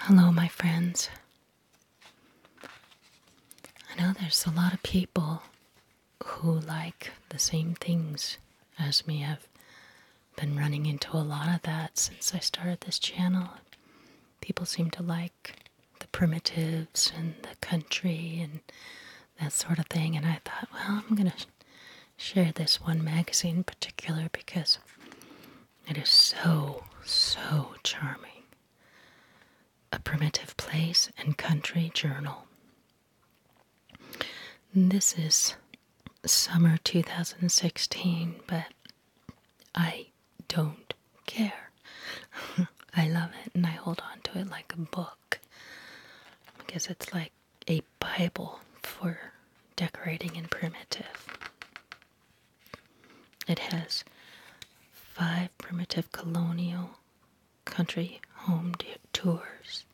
Hello, my friends. I know there's a lot of people who like the same things as me. I've been running into a lot of that since I started this channel. People seem to like the primitives and the country and that sort of thing. And I thought, well, I'm going to share this one magazine in particular because it is so, so charming. A primitive place and country journal. This is summer 2016, but I don't care. I love it and I hold on to it like a book because it's like a Bible for decorating in primitive. It has five primitive colonial country home tours,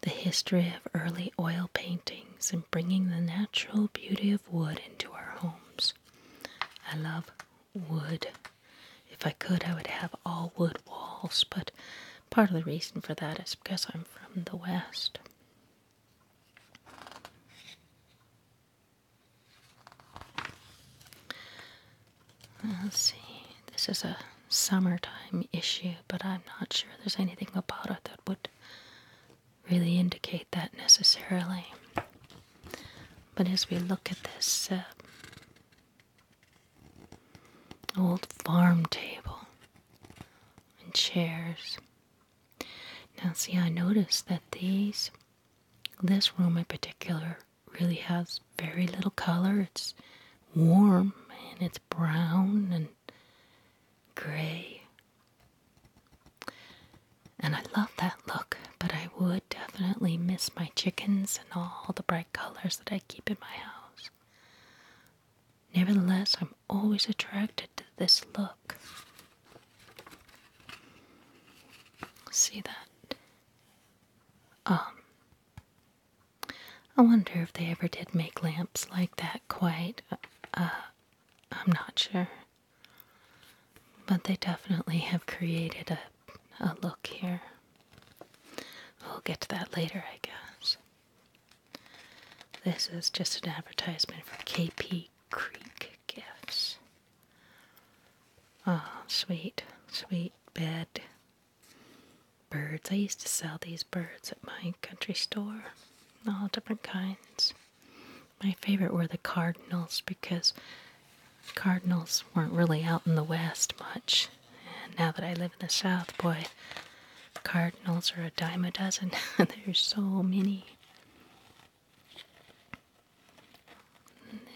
the history of early oil paintings, and bringing the natural beauty of wood into our homes. I love wood. If I could, I would have all wood walls, but Part of the reason for that is because I'm from the West. see, this is a summertime issue, but I'm not sure there's anything about it that would really indicate that necessarily. But as we look at this um, old farm table, and chairs. Now, see, I noticed that these, this room in particular, really has very little color. It's warm and it's brown and gray. And I love that look, but I would definitely miss my chickens and all the bright colors that I keep in my house. Nevertheless, I'm always attracted to this look. See that? Um, I wonder if they ever did make lamps like that quite. Uh, uh, I'm not sure. But they definitely have created a look here. We'll get to that later, I guess. This is just an advertisement for KP Creek Gifts. Oh, sweet, sweet bed. Birds. I used to sell these birds at my country store, all different kinds. My favorite were the cardinals because cardinals weren't really out in the West much. And now that I live in the South, boy, cardinals are a dime a dozen. There's so many.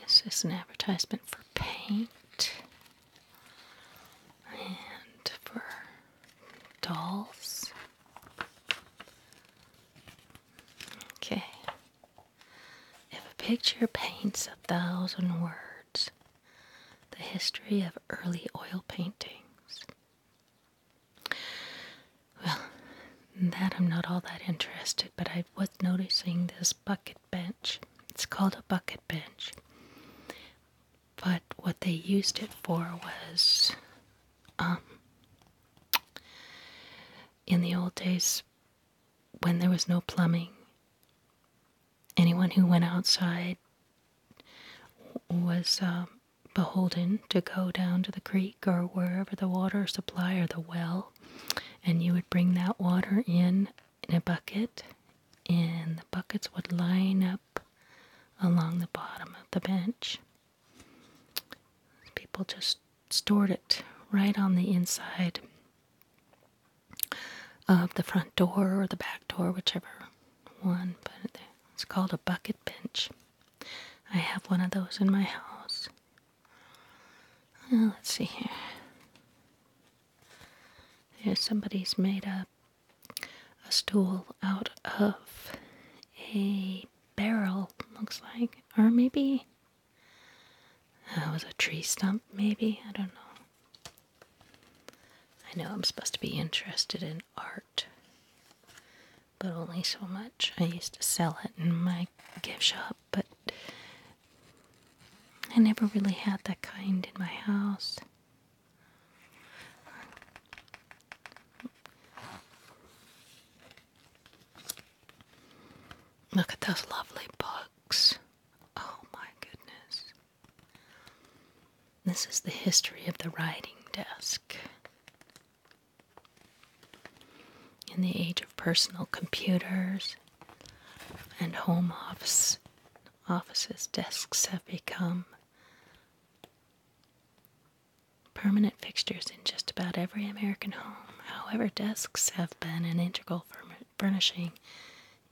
this is an advertisement for paint and for dolls. Okay. If a picture paints a thousand words, the history of early oil paintings. Well, that I'm not all that interested, but I was noticing this bucket bench. It's called a bucket bench. But what they used it for was, um, in the old days when there was no plumbing, anyone who went outside was uh, beholden to go down to the creek or wherever the water supply or the well, and you would bring that water in in a bucket, and the buckets would line up along the bottom of the bench. People just stored it right on the inside of the front door or the back door, whichever one. But it's called a bucket bench. I have one of those in my house. Uh, let's see here. somebody's made a, a stool out of a barrel, looks like. Or maybe that uh, was a tree stump, maybe. I don't know. I know I'm supposed to be interested in art, but only so much. I used to sell it in my gift shop, but I never really had that kind in my house. Look at those lovely books. Oh my goodness. This is the history of the writing desk. In the age of personal computers and home office, offices, desks have become permanent fixtures in just about every American home. However, desks have been an integral furnishing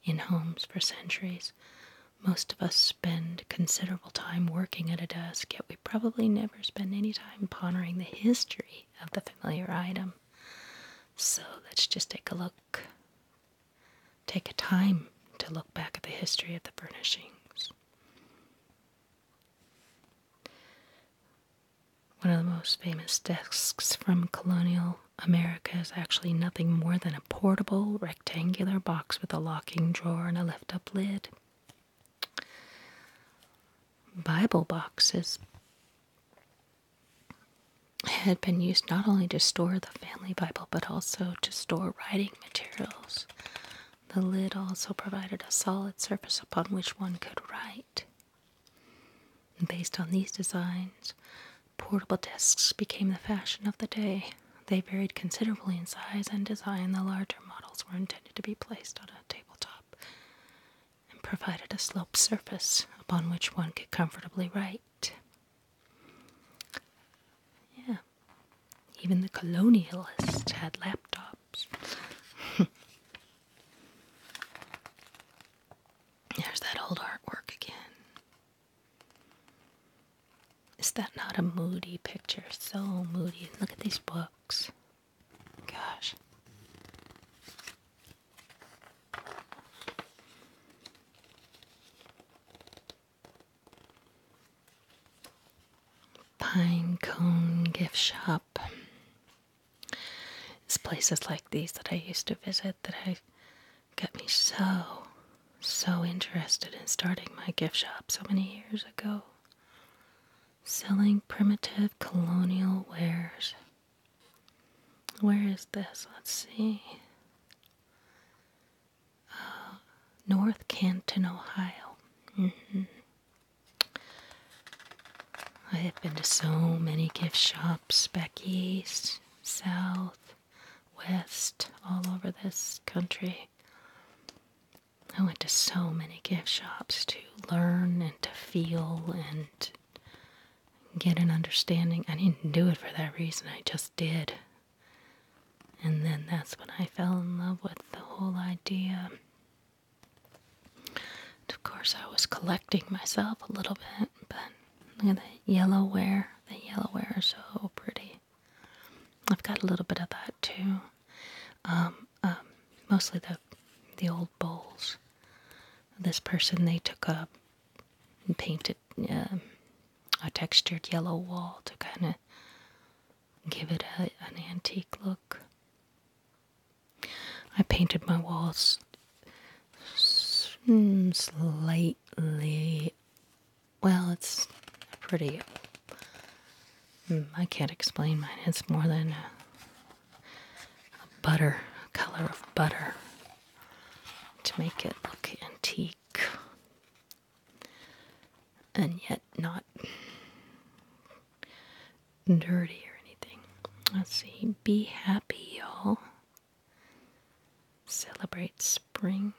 in homes for centuries. Most of us spend considerable time working at a desk, yet we probably never spend any time pondering the history of the familiar item. So let's just take a look. Take a time to look back at the history of the furnishings. One of the most famous desks from colonial America is actually nothing more than a portable rectangular box with a locking drawer and a lift up lid. Bible boxes had been used not only to store the family Bible but also to store writing materials. The lid also provided a solid surface upon which one could write. based on these designs, Portable desks became the fashion of the day. They varied considerably in size and design. The larger models were intended to be placed on a tabletop and provided a sloped surface upon which one could comfortably write. Yeah, even the colonialists had laptops. There's that old artwork again. Is that not a moody picture? So moody. Look at these books. Gosh. Pine Cone Gift Shop. It's places like these that I used to visit that I got me so, so interested in starting my gift shop so many years ago. Selling primitive colonial wares. Where is this? Let's see. Uh, North Canton, Ohio. Mm-hmm. I have been to so many gift shops back east, south, west, all over this country. I went to so many gift shops to learn and to feel and get an understanding. I didn't do it for that reason, I just did. And then that's when I fell in love with the whole idea. of course, I was collecting myself a little bit, but look at that yellow ware. The yellow ware is so pretty. I've got a little bit of that too. Um, um, mostly the the old bowls. This person they took up and painted um, a textured yellow wall to kind of give it an antique look. I painted my walls hmm, slightly well, it's pretty. Hmm, I can't explain mine. It's more than a, butter, color of butter to make it look antique and yet not dirty or anything. Let's see. Be happy, y'all. Celebrate spring.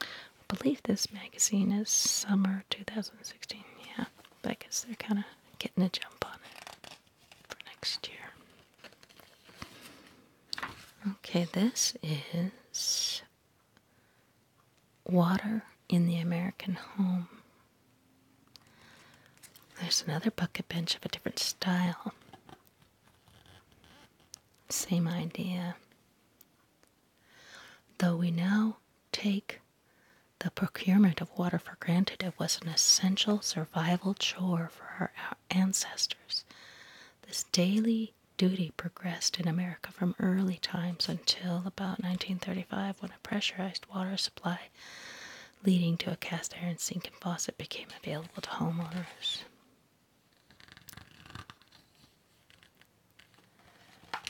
I believe this magazine is summer 2016. Yeah, but I guess they're kind of getting a jump on it for next year. Okay, this is Water in the American Home. There's another bucket bench of a different style. Same idea. Though we now take the procurement of water for granted, it was an essential survival chore for our ancestors. This daily duty progressed in America from early times until about 1935 when a pressurized water supply leading to a cast iron sink and faucet became available to homeowners.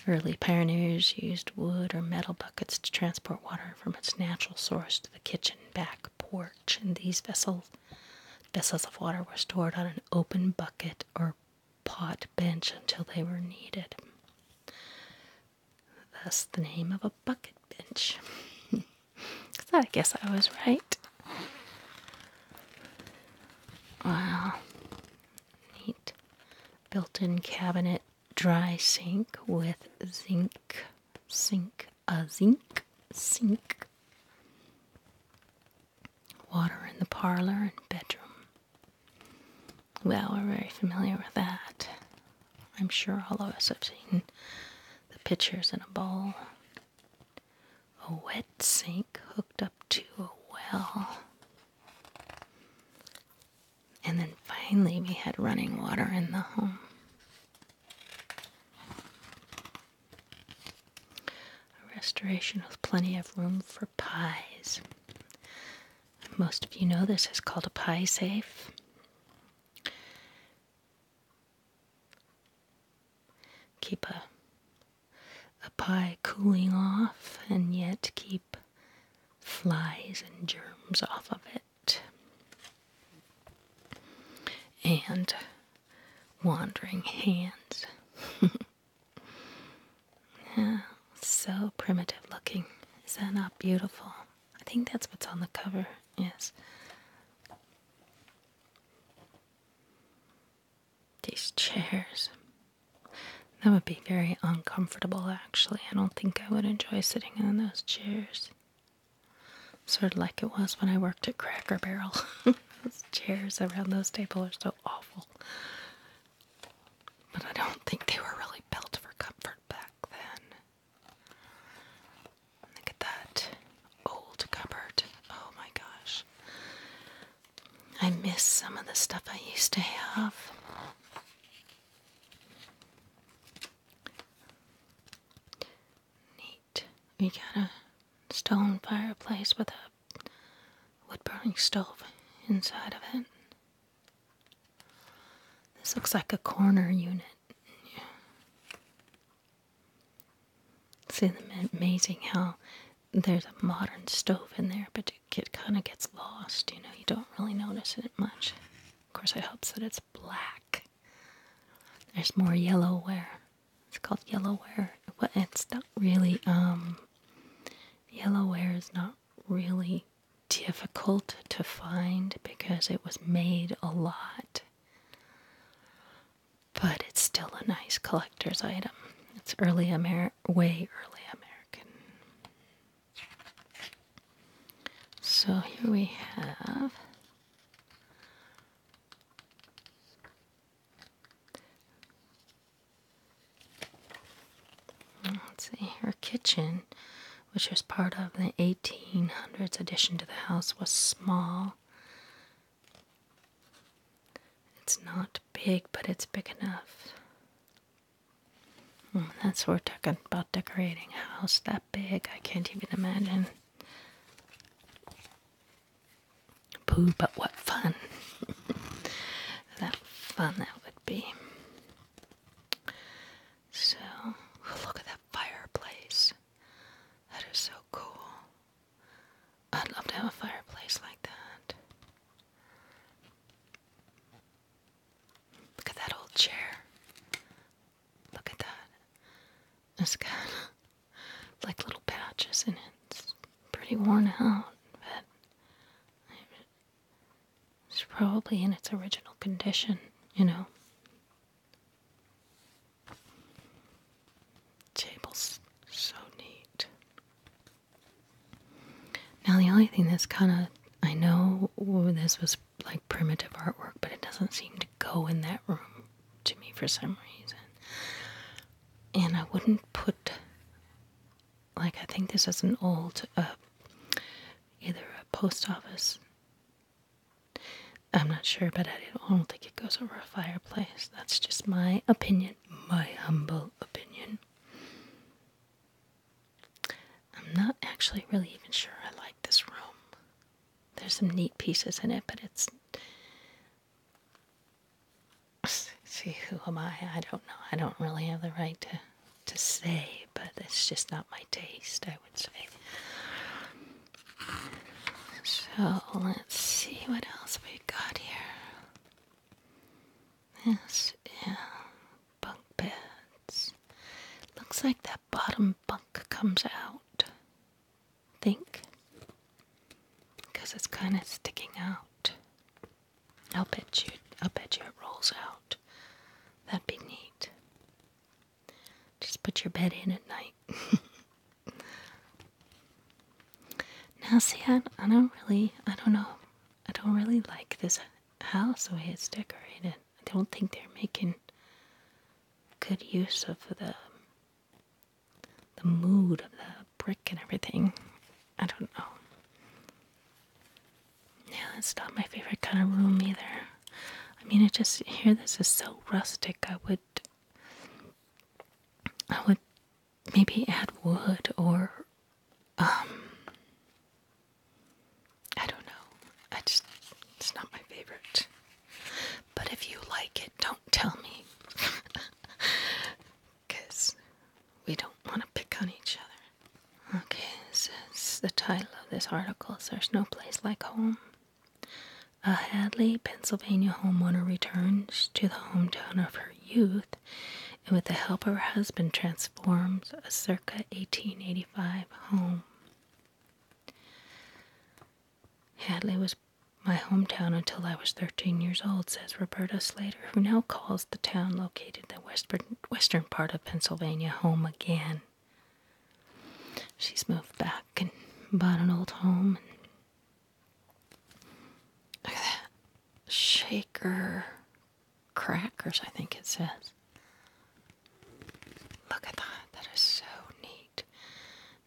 Early pioneers used wood or metal buckets to transport water from its natural source to the kitchen back porch, and these vessels of water were stored on an open bucket or pot bench until they were needed. Thus the name of a bucket bench. Cause I guess I was right. Wow. Neat. Built in cabinet dry sink with zinc, sink, a uh, zinc sink. Water in the parlor and bedroom. Well, we're very familiar with that. I'm sure all of us have seen the pictures in a bowl a wet sink hooked up to a well. And then finally, we had running water in the home. A restoration with plenty of room for pies. Most of you know this is called a pie safe. Keep a, a pie cooling off and yet keep flies and germs off of it. And wandering hands. yeah, so primitive looking. Is that not beautiful? I think that's what's on the cover. Yes. These chairs. That would be very uncomfortable, actually. I don't think I would enjoy sitting in those chairs. Sort of like it was when I worked at Cracker Barrel. those chairs around those tables are so awful. But I don't think they were really built for comfort back then. Look at that old cupboard. Oh my gosh. I miss some of the stuff I used to have. Neat. We got a stone fireplace with a wood burning stove inside of it. This looks like a corner unit. It's amazing how there's a modern stove in there, but it, kind of gets lost. You know, you don't really notice it much. Of course, I hope that it's black. There's more yellowware. It's called yellowware. But it's not really, um, yellowware is not really difficult to find because it was made a lot but it's still a nice collector's item. It's early Amer way early American. So here we have let's see her kitchen, which was part of the 1800s addition to the house, was small it's not big, but it's big enough. Hmm, that's what we're talking about decorating a house that big. I can't even imagine. Pooh, but what fun. that fun that would be. So, look at that fireplace. That is so cool. I'd love to have a fireplace like that. Look at that old chair. Look at that. It's got like little patches and It's pretty worn out, but it's probably in its original condition, you know. Table's so neat. Now, the only thing that's kind of, I know this was like primitive artwork, but it doesn't seem to go in that room to me for some reason. And I wouldn't put, like, I think this is an old, uh, either a post office. I'm not sure, but I don't think it goes over a fireplace. That's just my opinion, my humble opinion. I'm not actually really even sure I like this room. There's some neat pieces in it, but it's. See, who am I? I don't know. I don't really have the right to, to say, but it's just not my taste, I would say. So let's see what else we got here. This yeah, bunk beds. Looks like that bottom bunk comes out. I think. Because it's kind of sticking out. I'll bet you. I'll bet you it rolls out. That'd be neat. Just put your bed in at night. now see, I, I don't really, I don't know, I don't really like this house the way it's decorated. I don't think they're making good use of the the mood of the brick and everything. I don't know. Yeah, it's not my favorite kind of room either. I mean, I just here. this is so rustic. I would I would maybe add wood or, um, I don't know. I just, it's not my favorite. But if you like it, don't tell me. Because we don't want to pick on each other. Okay, this the title of this article. is There's no place like home. A Hadley, Pennsylvania homeowner returns to the hometown of her youth and, with the help of her husband, transforms a circa 1885 home. Hadley was my hometown until I was 13 years old, says Roberta Slater, who now calls the town located in the western, part of Pennsylvania home again. She's moved back and bought an old home Look at that. Shaker crackers, I think it says. Look at that. That is so neat.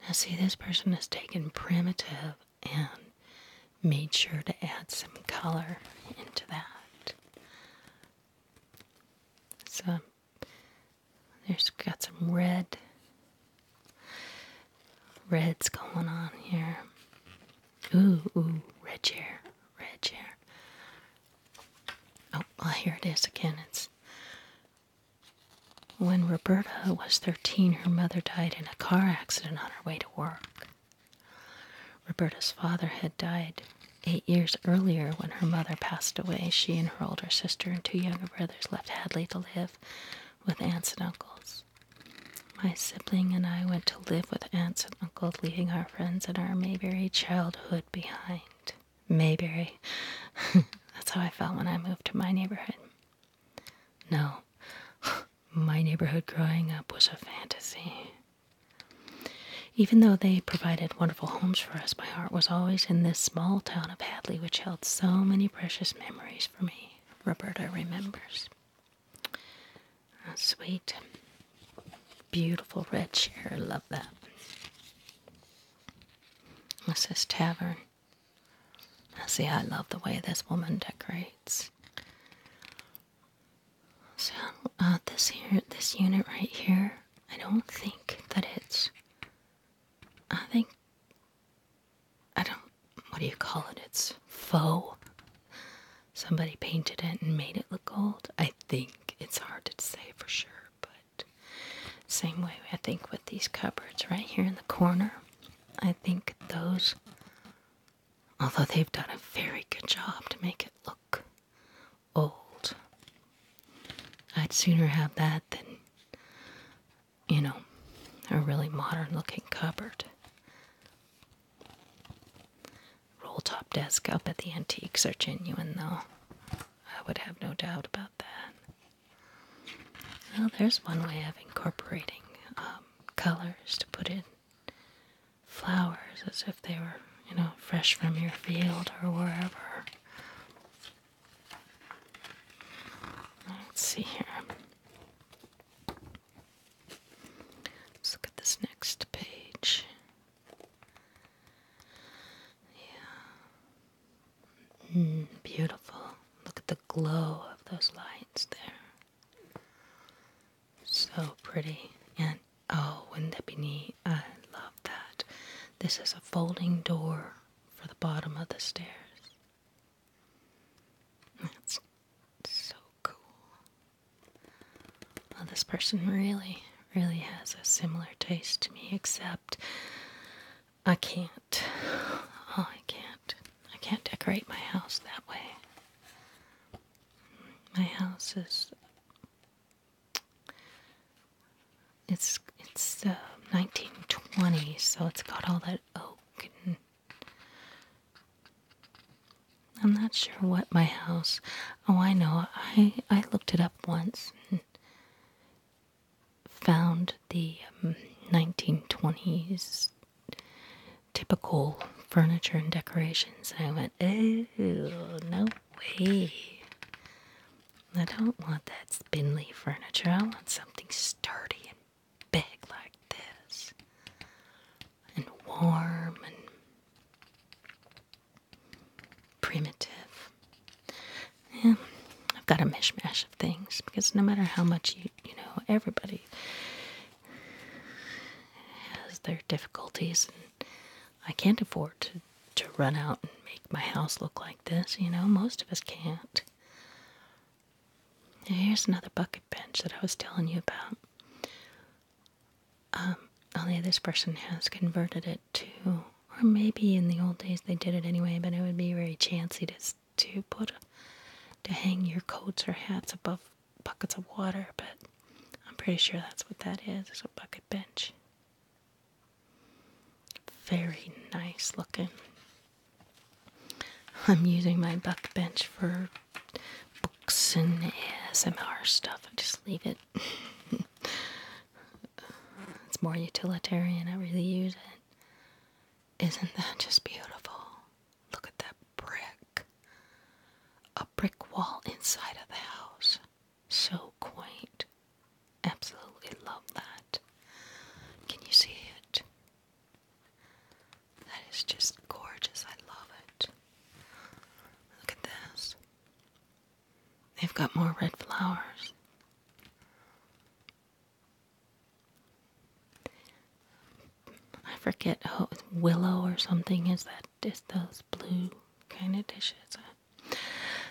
Now, see, this person has taken primitive and made sure to add some color into that. So, there's got some red. Red's going on here. Ooh, ooh, red chair, red chair. Oh, well, here it is again. It's when Roberta was 13, her mother died in a car accident on her way to work. Roberta's father had died eight years earlier when her mother passed away. She and her older sister and two younger brothers left Hadley to live with aunts and uncles. My sibling and I went to live with aunts and uncles, leaving our friends and our Mayberry childhood behind. Mayberry. That's how I felt when I moved to my neighborhood. No, my neighborhood growing up was a fantasy. Even though they provided wonderful homes for us, my heart was always in this small town of Hadley, which held so many precious memories for me. Roberta remembers. sweet, beautiful red chair. Love that. This is Tavern. I see, I love the way this woman decorates. So uh, this here, this unit right here, I don't think that it's. I think I don't. What do you call it? It's faux. Somebody painted it and made it look old. I think it's hard to say for sure, but same way I think with these cupboards right here in the corner. I think those, although they've done a very good job to make it look old, I'd sooner have that than you know, a really modern looking cupboard. Roll top desk up at the antiques are genuine, though. I would have no doubt about that. Well, there's one way of incorporating um, colors to put in flowers as if they were, you know, fresh from your field or wherever. Let's see here. Let's look at this next page. Yeah. Mm, beautiful. Look at the glow of those lights there. So pretty. And oh, wouldn't that be neat? I love that. This is a folding door for the bottom of the stairs. That's so cool. Well, this person really, really has a similar taste to me, except I can't. Oh, I can't. I can't decorate my house that way. My house is it's it's um, the 1920s, so it's got all that oak I'm not sure what my house. Oh, I know. I I looked it up once and found the 1920s um, typical furniture and decorations, and I went, "Oh, no way! I don't want that spindly furniture. I want something sturdy and big like this, and warm and primitive. Yeah, I've got a mishmash of things because no matter how much you, you know, everybody has their difficulties, and I can't afford to, to run out and make my house look like this. You know, most of us can't here's another bucket bench that I was telling you about. Um, only this person has converted it to, or maybe in the old days they did it anyway, but it would be very chancy to to put to hang your coats or hats above buckets of water. But I'm pretty sure that's what that is. It's a bucket bench. Very nice looking. I'm using my buck bench for books and S.M.R. stuff. I just leave it. it's more utilitarian. I really use it. Isn't that just beautiful? Look at that brick. A brick wall inside of the house. So quaint. Absolutely love that. Can you see it? That is just gorgeous. I love it. Look at this. They've got more red flowers. I forget how oh, willow or something is that is those blue kind of dishes.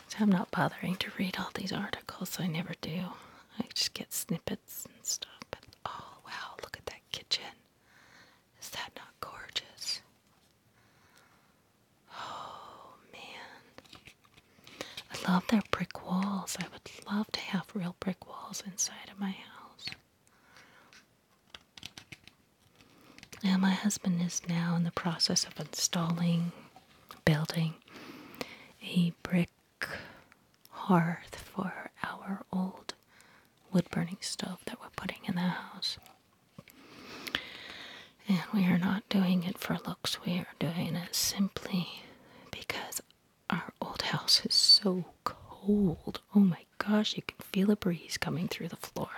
So I'm not bothering to read all these articles. I never do. I just get snippets and stuff. oh wow, look at that kitchen. Is that not gorgeous? Oh man. I love their brick walls. I would love to have real brick walls inside of my house. Now my husband is now in the process of installing building a brick hearth for our old wood burning stove that we're putting in the house. And we are not doing it for looks, we are doing it simply because our old house is so cold. Oh my gosh, you can feel a breeze coming through the floor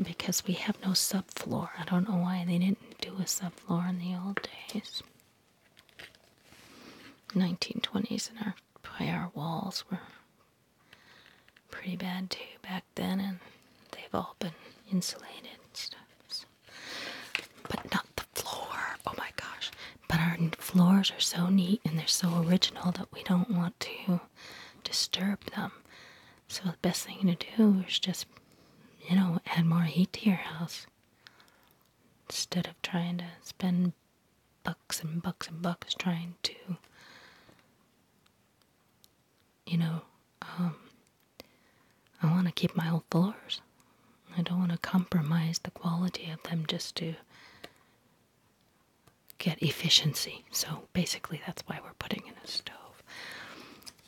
because we have no subfloor. I don't know why they didn't do a sub. Floor in the old days. 1920s and our by our walls were pretty bad too back then and they've all been insulated and stuff but not the floor oh my gosh but our floors are so neat and they're so original that we don't want to disturb them so the best thing to do is just you know, add more heat to your house instead of trying to spend bucks and bucks and bucks trying to, you know, um, I want to keep my old floors. I don't want to compromise the quality of them just to get efficiency. So basically, that's why we're putting in a stove.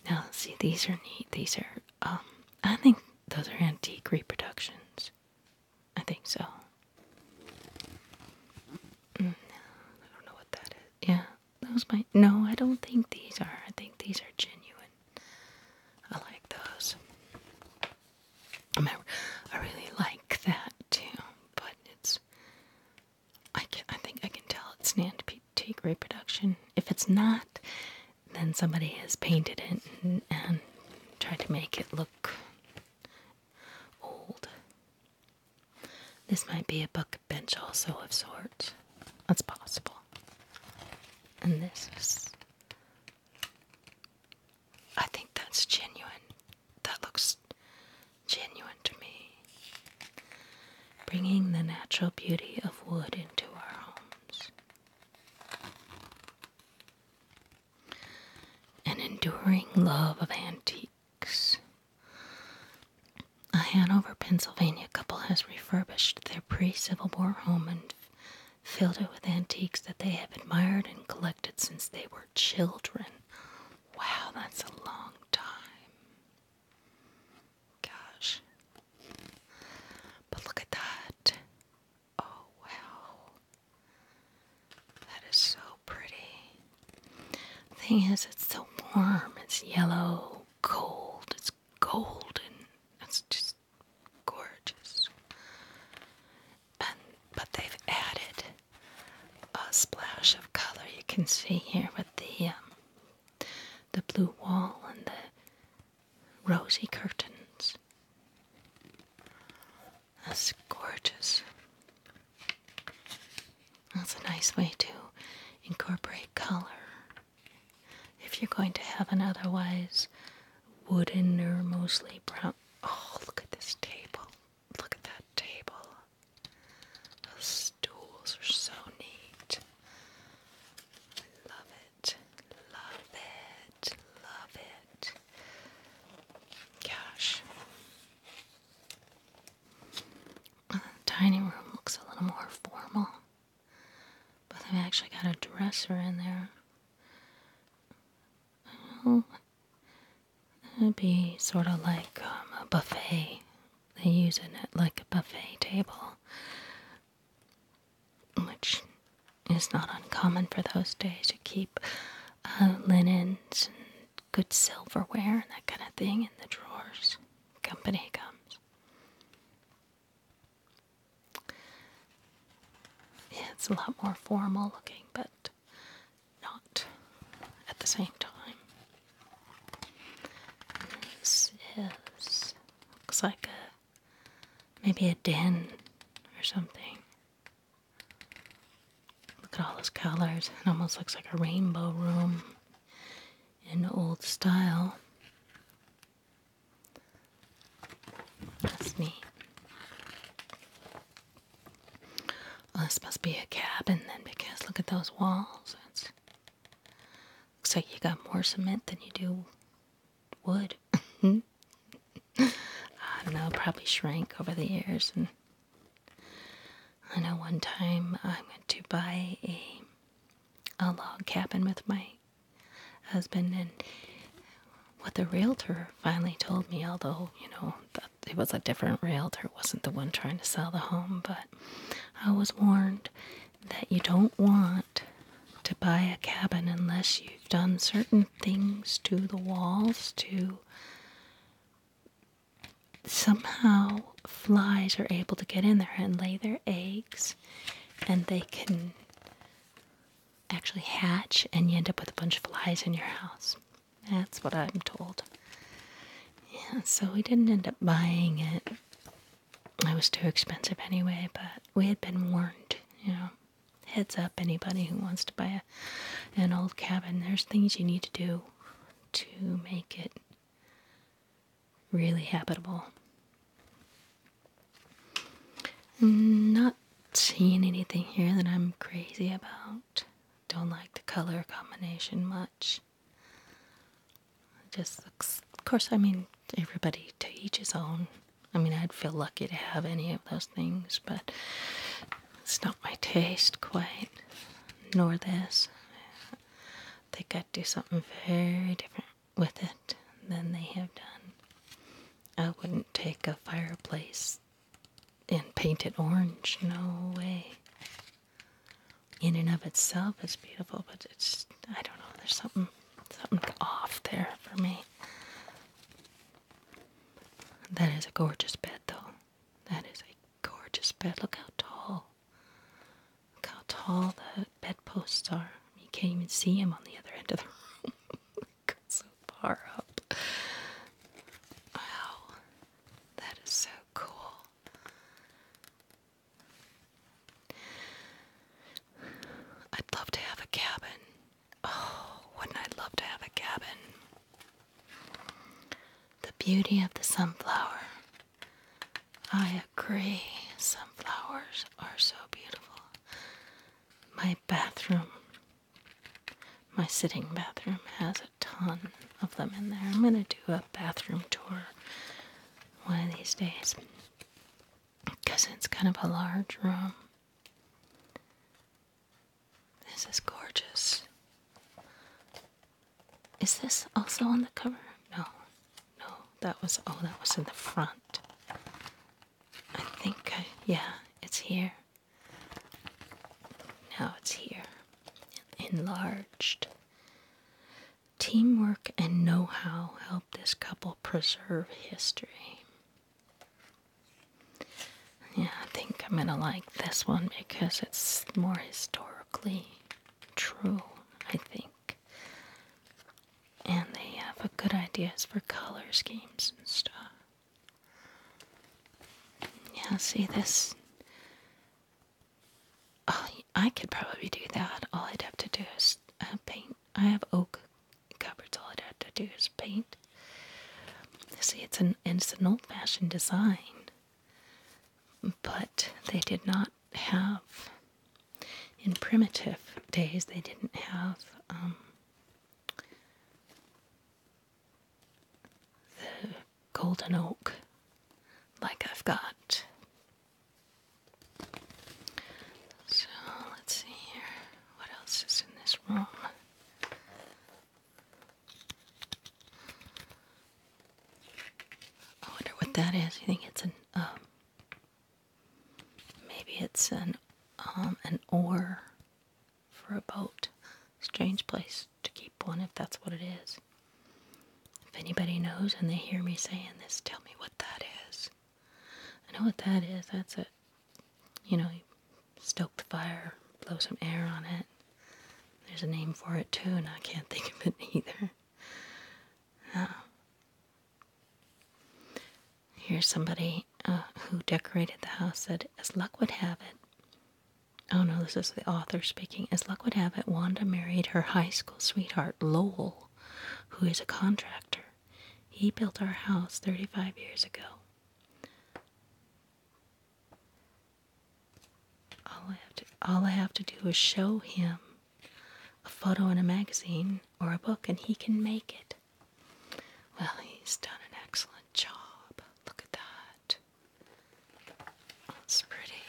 Now, see, these are neat. These are um, I think those are antique reproductions. I think so. Mm, I don't know what that is. Yeah, those might. No, I don't think these are. I think these are genuine. I like those. I, I really like that too, but it's. I, can, I think I can tell it's an antique take reproduction. If it's not, then somebody has painted it and, tried to make it look old. This might be a bucket bench, also of sorts. That's possible. And this is. I think that's genuine. That looks genuine to me bringing the natural beauty of wood into our homes. An enduring love of antiques. A Hanover, Pennsylvania couple has refurbished their pre Civil War home and filled it with antiques that they have admired and collected since they were children. Wow, that's a long time. Gosh. But look at that. Oh, wow. That is so pretty. Thing is, it's so warm. It's yellow, cold, it's golden. It's just gorgeous. And, but they've added a splash of color. You can see here with the um, the blue wall and the rosy curtains. That's gorgeous. That's a nice way to incorporate color. If you're going to have an otherwise wooden or mostly brown. Oh, look at this table. Look at that table stools are so neat. I love it. Love it. Love it. Gosh. The uh, dining room looks a little more formal. But they've actually got a dresser in there. Well, it'd be sort of like um, a buffet. They use it like a buffet table which is not uncommon for those days. to keep uh, linens and good silverware and that kind of thing in the drawers. Company comes. it's a lot more formal looking, but not at the same time. This is looks like a maybe a den or something. Look at all those colors. It almost looks like a rainbow room in old style. That's neat. Oh, this must be a cabin then because look at those walls. Looks like you got more cement than you do wood. I don't know, probably shrank over the years. And I know one time I went to buy a a log cabin with my husband, and what the realtor finally told me, although you know it was a different realtor, it wasn't the one trying to sell the home, but I was warned that you don't want to buy a cabin unless you've done certain things to the walls to somehow flies are able to get in there and lay their eggs and they can actually hatch and you end up with a bunch of flies in your house. That's what I'm told. Yeah, so we didn't end up buying it it was too expensive anyway, but we had been warned, you know. Heads up, anybody who wants to buy a, an old cabin, there's things you need to do to make it really habitable. not seeing anything here that I'm crazy about. Don't like the color combination much just of course, I mean, everybody to each his own. I mean, I'd feel lucky to have any of those things, but it's not my taste quite, nor this. I think I'd do something very different with it than they have done. I wouldn't take a fireplace and paint it orange, no way in and of itself it's beautiful, but it's I don't know, there's something something off there for me. That is a gorgeous bed though. That is a gorgeous bed. Look how tall. Look how tall the bedposts are. You can't even see him on the other end of the room. so far up. Wow. That is so cool. I'd love to have a cabin. Oh, wouldn't I love to have a cabin? The beauty of the sunflower. I agree. Sunflowers are so beautiful. My bathroom, my sitting bathroom, has a ton of them in there. I'm going to do a bathroom tour one of these days because it's kind of a large room. This is gorgeous. Is this also on the cover? No. No, that was, oh, that was in the front. I think, I, yeah, it's here. Now it's here. Enlarged. Teamwork and know how help this couple preserve history. Yeah, I think I'm gonna like this one because it's more historically true, I think. And they have a good ideas for color schemes and stuff. Yeah, see this Oh, I could probably do that. All I'd have to do is uh, paint. I have oak cupboards. All I'd have to do is paint. See, it's an it's an old-fashioned design, but they did not have in primitive days. They didn't have um, the golden oak like I've got. So let's see here. What else is in this room? I wonder what that is. You think it's an um, Maybe it's an um, an oar for a boat. Strange place to keep one if that's what it is. If anybody knows and they hear me saying this, tell me what that is. I know what that is. That's it. you know, you stoke the fire, blow some air on it. There's a name for it too, and I can't think of it either. Um, here's somebody uh, who decorated the house said, as luck would have it. Oh no, this is the author speaking. As luck would have it, Wanda married her high school sweetheart, Lowell, who is a contractor. He built our house 35 years ago. All I have to, all I have to do is show him a photo in a magazine or a book, and he can make it. Well, he's done an excellent job. Look at that. That's pretty.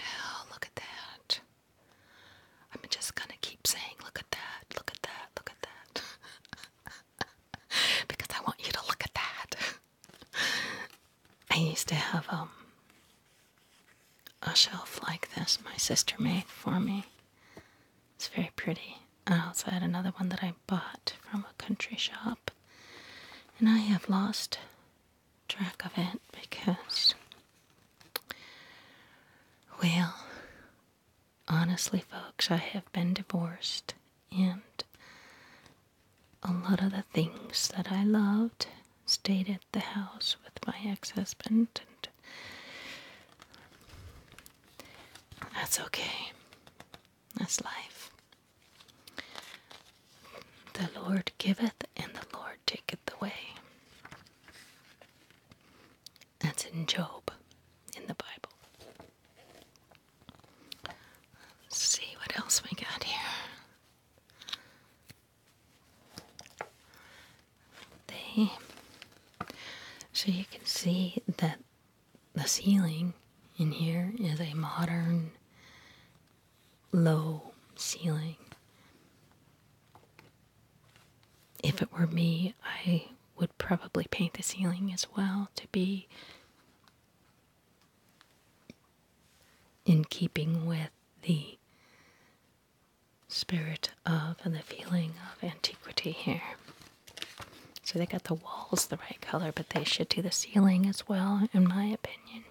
Oh, look at that. I'm just gonna keep saying, look at that, look at that, look at that. because I want you to look at that. I used to have um, a shelf like this my sister made for me. It's very pretty. I also had another one that I bought from a country shop. And I have lost track of it because, well, honestly, folks, I have been divorced, and a lot of the things that I loved stayed at the house with my ex husband, and that's okay. That's life. The Lord giveth and the Lord taketh away. That's in Job in the Bible. see what else we got here. They so you can see that the ceiling in here is a modern low ceiling. If it were me, I would probably paint the ceiling as well to be in keeping with the spirit of and the feeling of antiquity here. So they got the walls the right color, but they should do the ceiling as well, in my opinion.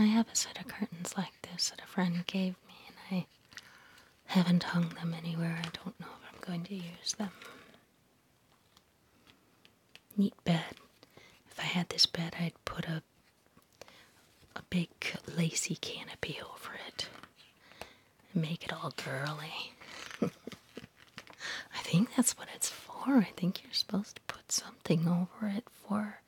I have a set of curtains like this that a friend gave me, and I haven't hung them anywhere. I don't know if I'm going to use them. Neat bed. If I had this bed, I'd put a a big lacy canopy over it and make it all girly. I think that's what it's for. I think you're supposed to put something over it for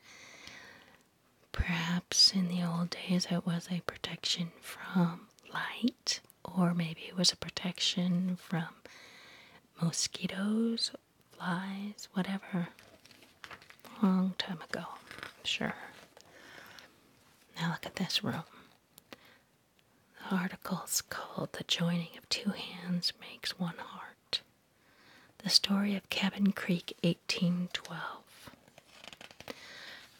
perhaps in the old days it was a protection from light or maybe it was a protection from mosquitoes, flies, whatever. Long time ago, I'm sure. Now look at this room. The article's called The Joining of Two Hands Makes One Heart. The story of Cabin Creek, 1812.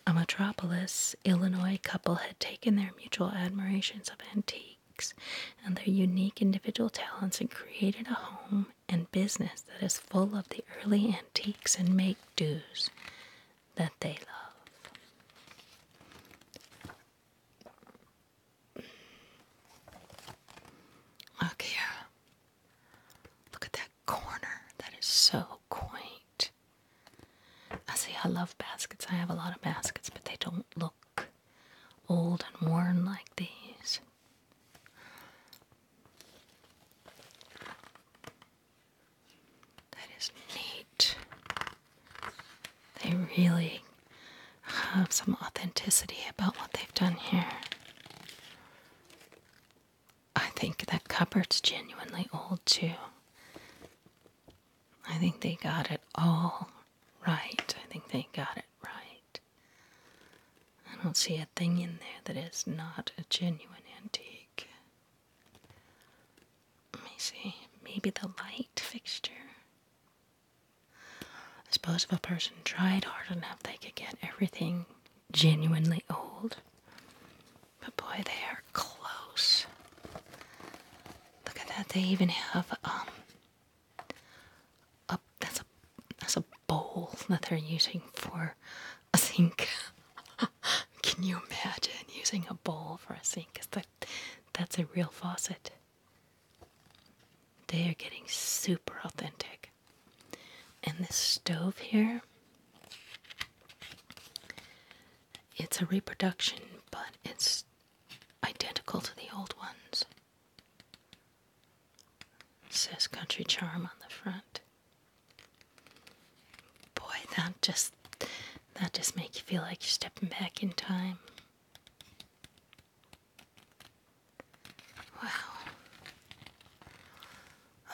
A Metropolis, Illinois couple had taken their mutual admirations of antiques and their unique individual talents and created a home and business that is full of the early antiques and make do's that they love. Look here. Look at that corner. That is so quaint. I see, I love baskets. I have a lot of baskets, but they don't look old and worn like these. That is neat. They really have some authenticity about what they've done here. I think that cupboard's genuinely old too. I think they got it all right. I think they got it right. I don't see a thing in there that is not a genuine antique. Let me see. Maybe the light fixture. I suppose if a person tried hard enough, they could get everything genuinely old. But boy, they are close. Look at that. They even have, um, a, that's a a bowl that they're using for a sink. Can you imagine using a bowl for a sink? Cause that that's a real faucet. They are getting super authentic. And this stove here, it's a reproduction, but it's identical to the old ones says Country Charm on the front. Boy, that just that just make you feel like you're stepping back in time. Wow.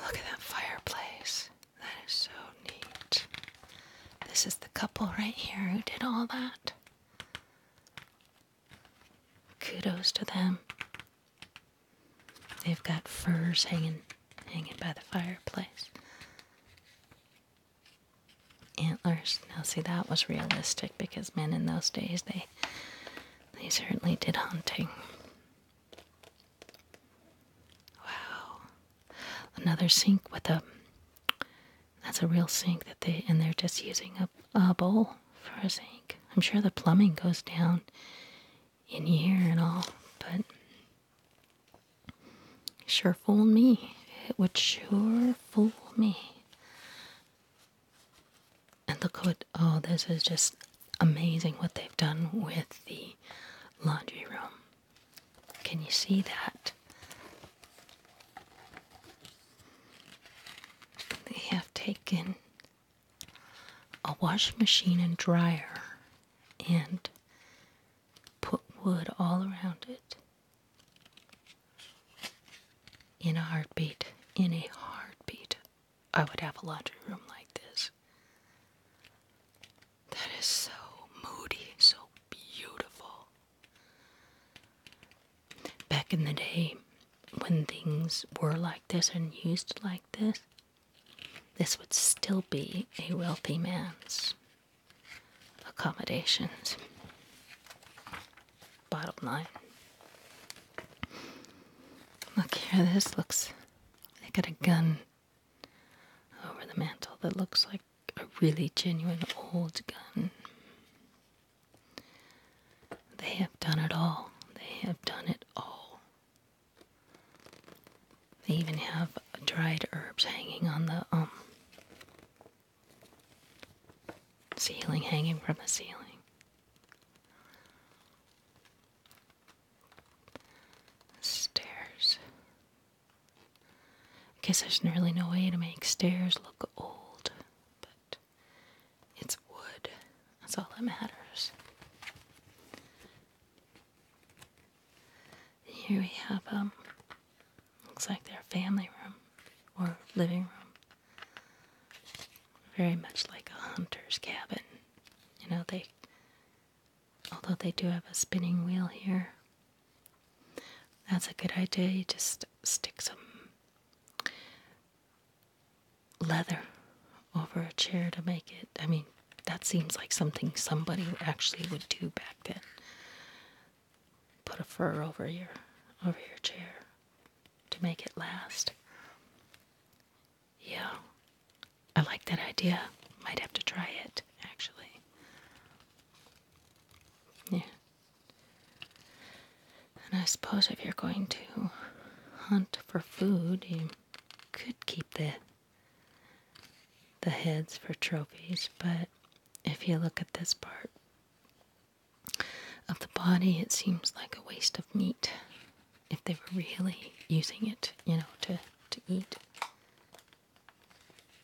Look at that fireplace. That is so neat. This is the couple right here who did all that. Kudos to them. They've got furs hanging hanging by the fireplace. Antlers. Now see that was realistic because men in those days they they certainly did hunting. Wow. Another sink with a that's a real sink that they and they're just using a, a bowl for a sink. I'm sure the plumbing goes down in here and all, but sure fool me. It would sure fool me. And look what, oh, this is just amazing what they've done with the laundry room. Can you see that? They have taken a washing machine and dryer and put wood all around it in a heartbeat. In a heartbeat, I would have a laundry room like this. That is so moody, so beautiful. Back in the day, when things were like this and used like this, this would still be a wealthy man's accommodations. Bottom line. Look here, this looks. They got a gun over the mantle that looks like a really genuine old gun. They have done it all. They have done it all. They even have dried herbs hanging on the um, ceiling, hanging from the ceiling. Stairs. I guess there's really no way to make stairs look old, but it's wood. That's all that matters. Here we have, um, looks like their family room or living room. Very much like a hunter's cabin. You know, they, although they do have a spinning wheel here, that's a good idea. You just stick some leather over a chair to make it. I mean, that seems like something somebody actually would do back then. Put a fur over your over your chair to make it last. Yeah. I like that idea. Might have to try it, actually. Yeah. And I suppose if you're going to hunt for food, you could keep the the heads for trophies, but if you look at this part of the body, it seems like a waste of meat if they were really using it, you know, to, to eat.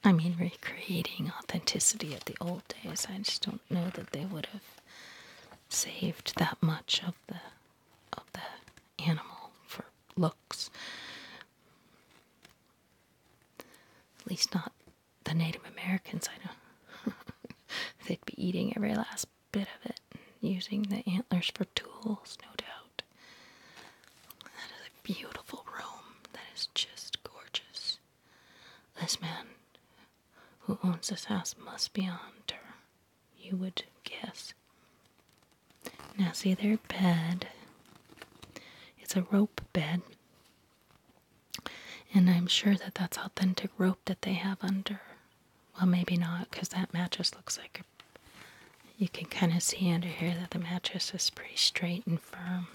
I mean, recreating authenticity of the old days. I just don't know that they would have saved that much of the of the animal for looks. At least not the Native Americans I know. They'd be eating every last bit of it, using the antlers for tools, no doubt. That is a beautiful room that is just gorgeous. This man who owns this house must be a hunter, you would guess. Now, see their bed. It's a rope bed. And I'm sure that that's authentic rope that they have under. Well, maybe not, because that mattress looks like you can kind of see under here that the mattress is pretty straight and firm.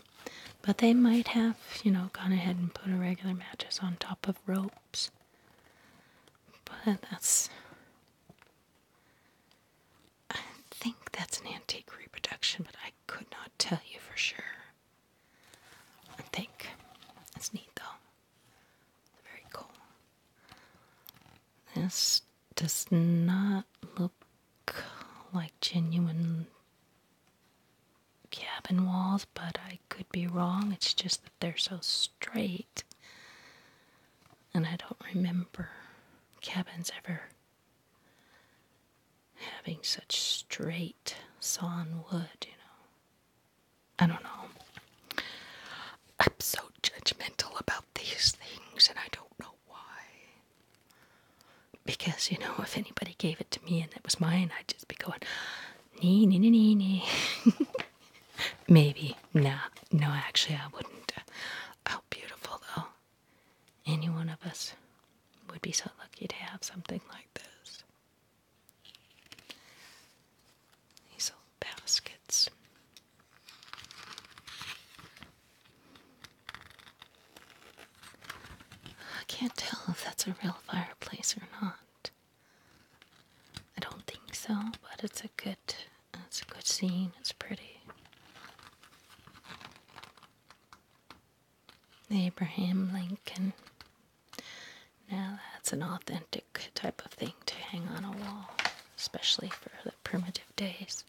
But they might have, you know, gone ahead and put a regular mattress on top of ropes. But that's. I think that's an antique reproduction, but I could not tell you for sure. I think. It's neat though. Very cool. This does not look like genuine cabin walls, but I could be wrong. It's just that they're so straight. And I don't remember cabins ever having such straight sawn wood, you know. I don't know. I'm so judgmental about these things, and I don't know why. Because, you know, if anybody gave it to me and it was mine, I'd just be going, Nee, nee, nee, nee, Maybe. Nah. No, actually, I wouldn't. How oh, beautiful, though. Any one of us would be so lucky to have something like this. These old baskets. I can't tell if that's a real fireplace or not. I don't think so, but it's a good it's a good scene. It's pretty. Abraham Lincoln. Now that's an authentic type of thing to hang on a wall, especially for the primitive days.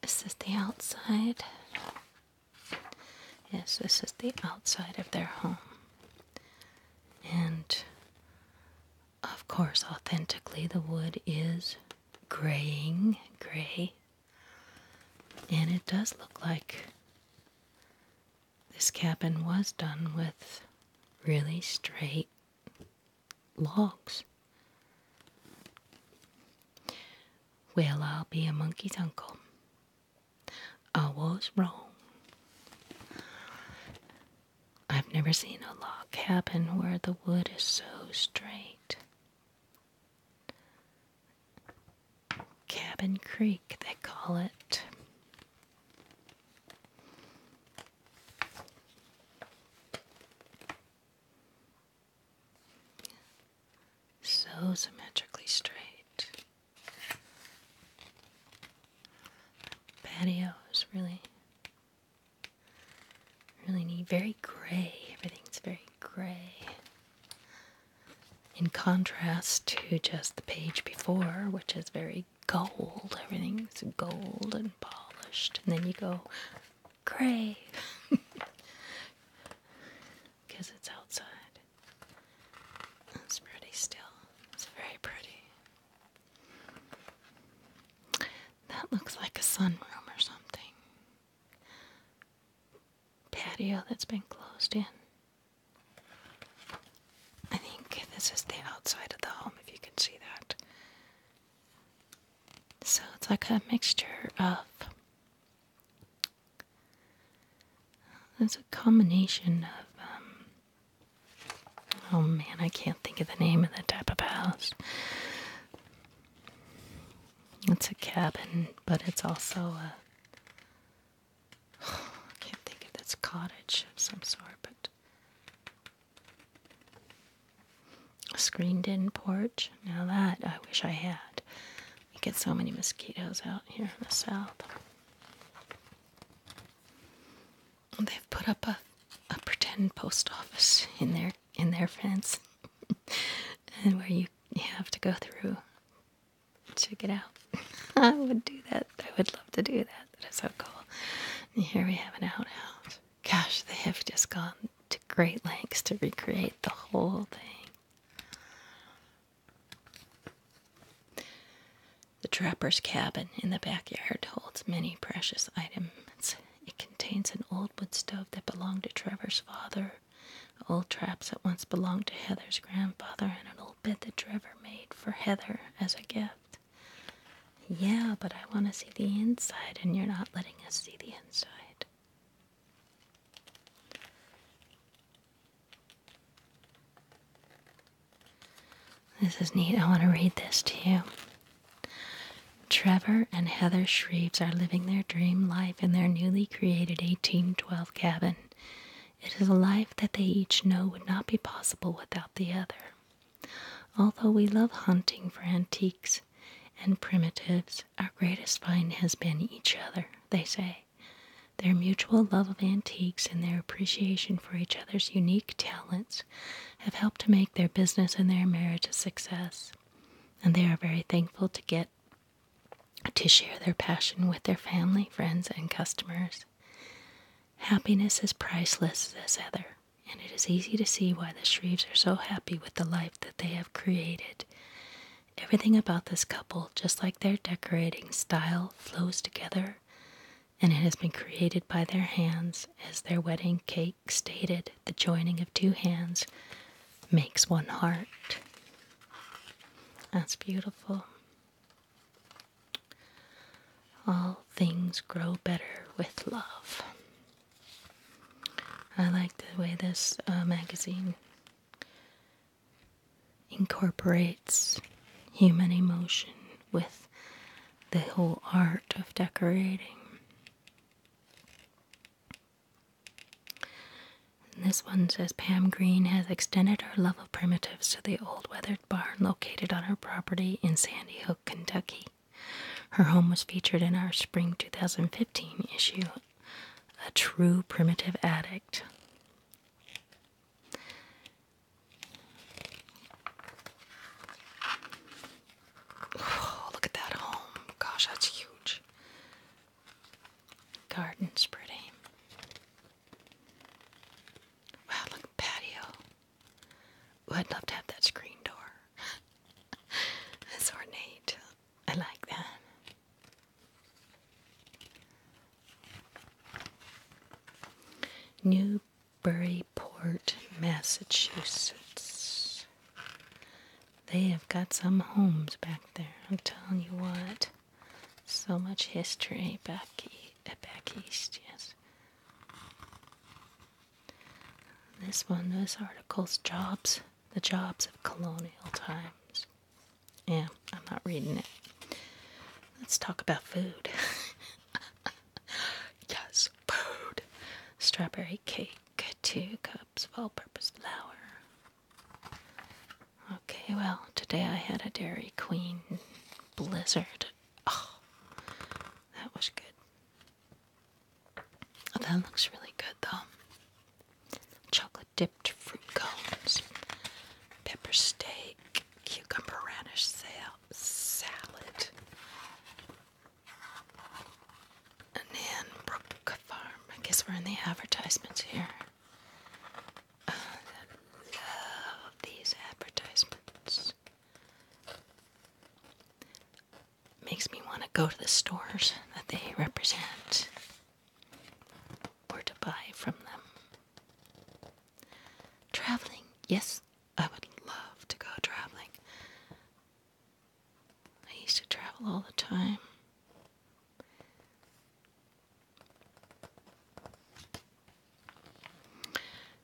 This is the outside. Yes, this is the outside of their home. And of course, authentically, the wood is graying, gray. And it does look like this cabin was done with really straight logs. Well, I'll be a monkey's uncle. I was wrong. I've never seen a log cabin where the wood is so straight. Cabin Creek, they call it so symmetrically straight. Patios really, really neat. Very gray. Everything's very gray. In contrast to just the page before, which is very gold. Everything's gold and polished. And then you go gray because it's outside. It's pretty still. It's very pretty. That looks like a sunroom or something. Patio that's been closed in. I think this is the outside of the home, if you can see that. So it's like a mixture of there's a combination of. Um, oh man, I can't think of the name of that type of house. It's a cabin, but it's also a. can't think of this cottage of some sort, but. A screened in porch. Now that I wish I had. You get so many mosquitoes out here in the south. they've put up a, a pretend post office in their in their fence, and where you, you have to go through to get out. I would do that. I would love to do that. That is so cool. here we have an out. outhouse. Gosh, they have just gone to great lengths to recreate the whole thing. The trapper's cabin in the backyard holds many precious items. It contains an old wood stove that belonged to Trevor's father, old traps that once belonged to Heather's grandfather, and an old bed that Trevor made for Heather as a gift. Yeah, but I want to see the inside, and you're not letting us see the inside. This is neat. I want to read this too. Trevor and Heather Shreves are living their dream life in their newly created 1812 cabin. It is a life that they each know would not be possible without the other. Although we love hunting for antiques and primitives, our greatest find has been each other, they say. Their mutual love of antiques and their appreciation for each other's unique talents have helped to make their business and their marriage a success, and they are very thankful to get to share their passion with their family, friends, and customers. Happiness is priceless, says Heather, and it is easy to see why the Shreves are so happy with the life that they have created. Everything about this couple, just like their decorating style, flows together, and it has been created by their hands, as their wedding cake stated the joining of two hands makes one heart. That's beautiful. All things grow better with love. I like the way this uh, magazine incorporates human emotion with the whole art of decorating. this one says Pam Green has extended her love of primitives to the old weathered barn located on her property in Sandy Hook, Kentucky. Her home was featured in our spring 2015 issue a true primitive addict. Oh, look at that home. Gosh, that's huge. Garden's pretty. Wow, look, patio. I'd love to have that screen door. it's ornate. I like that. Newburyport, Massachusetts. They have got some homes back there. I'm telling you what. So much history back, uh, east, yes. This one, this article's jobs, the jobs of colonial times. Yeah, I'm not reading it. Let's talk about food. yes, food. Strawberry cake, two cups of all purpose flour. Okay, well, today I had a Dairy Queen blizzard. Oh, that was good. that looks really good, though chocolate dipped fruit cones, pepper steak, cucumber radish salad, and Brook Farm. I guess we're in the advertisements here. Uh, love these advertisements. Makes me want to go to the stores that they represent or to buy from them. Traveling, yes, I would love to go traveling. I used to travel all the time.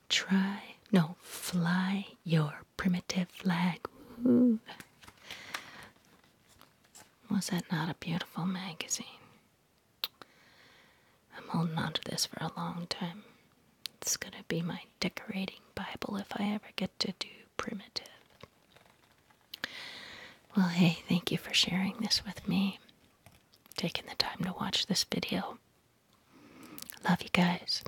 Try, no, fly your primitive flag. Was that not a beautiful magazine? I'm holding on to this for a long time. It's gonna be my decorating Bible if I ever get to do primitive. Well, hey, thank you for sharing this with me, taking the time to watch this video. Love you guys.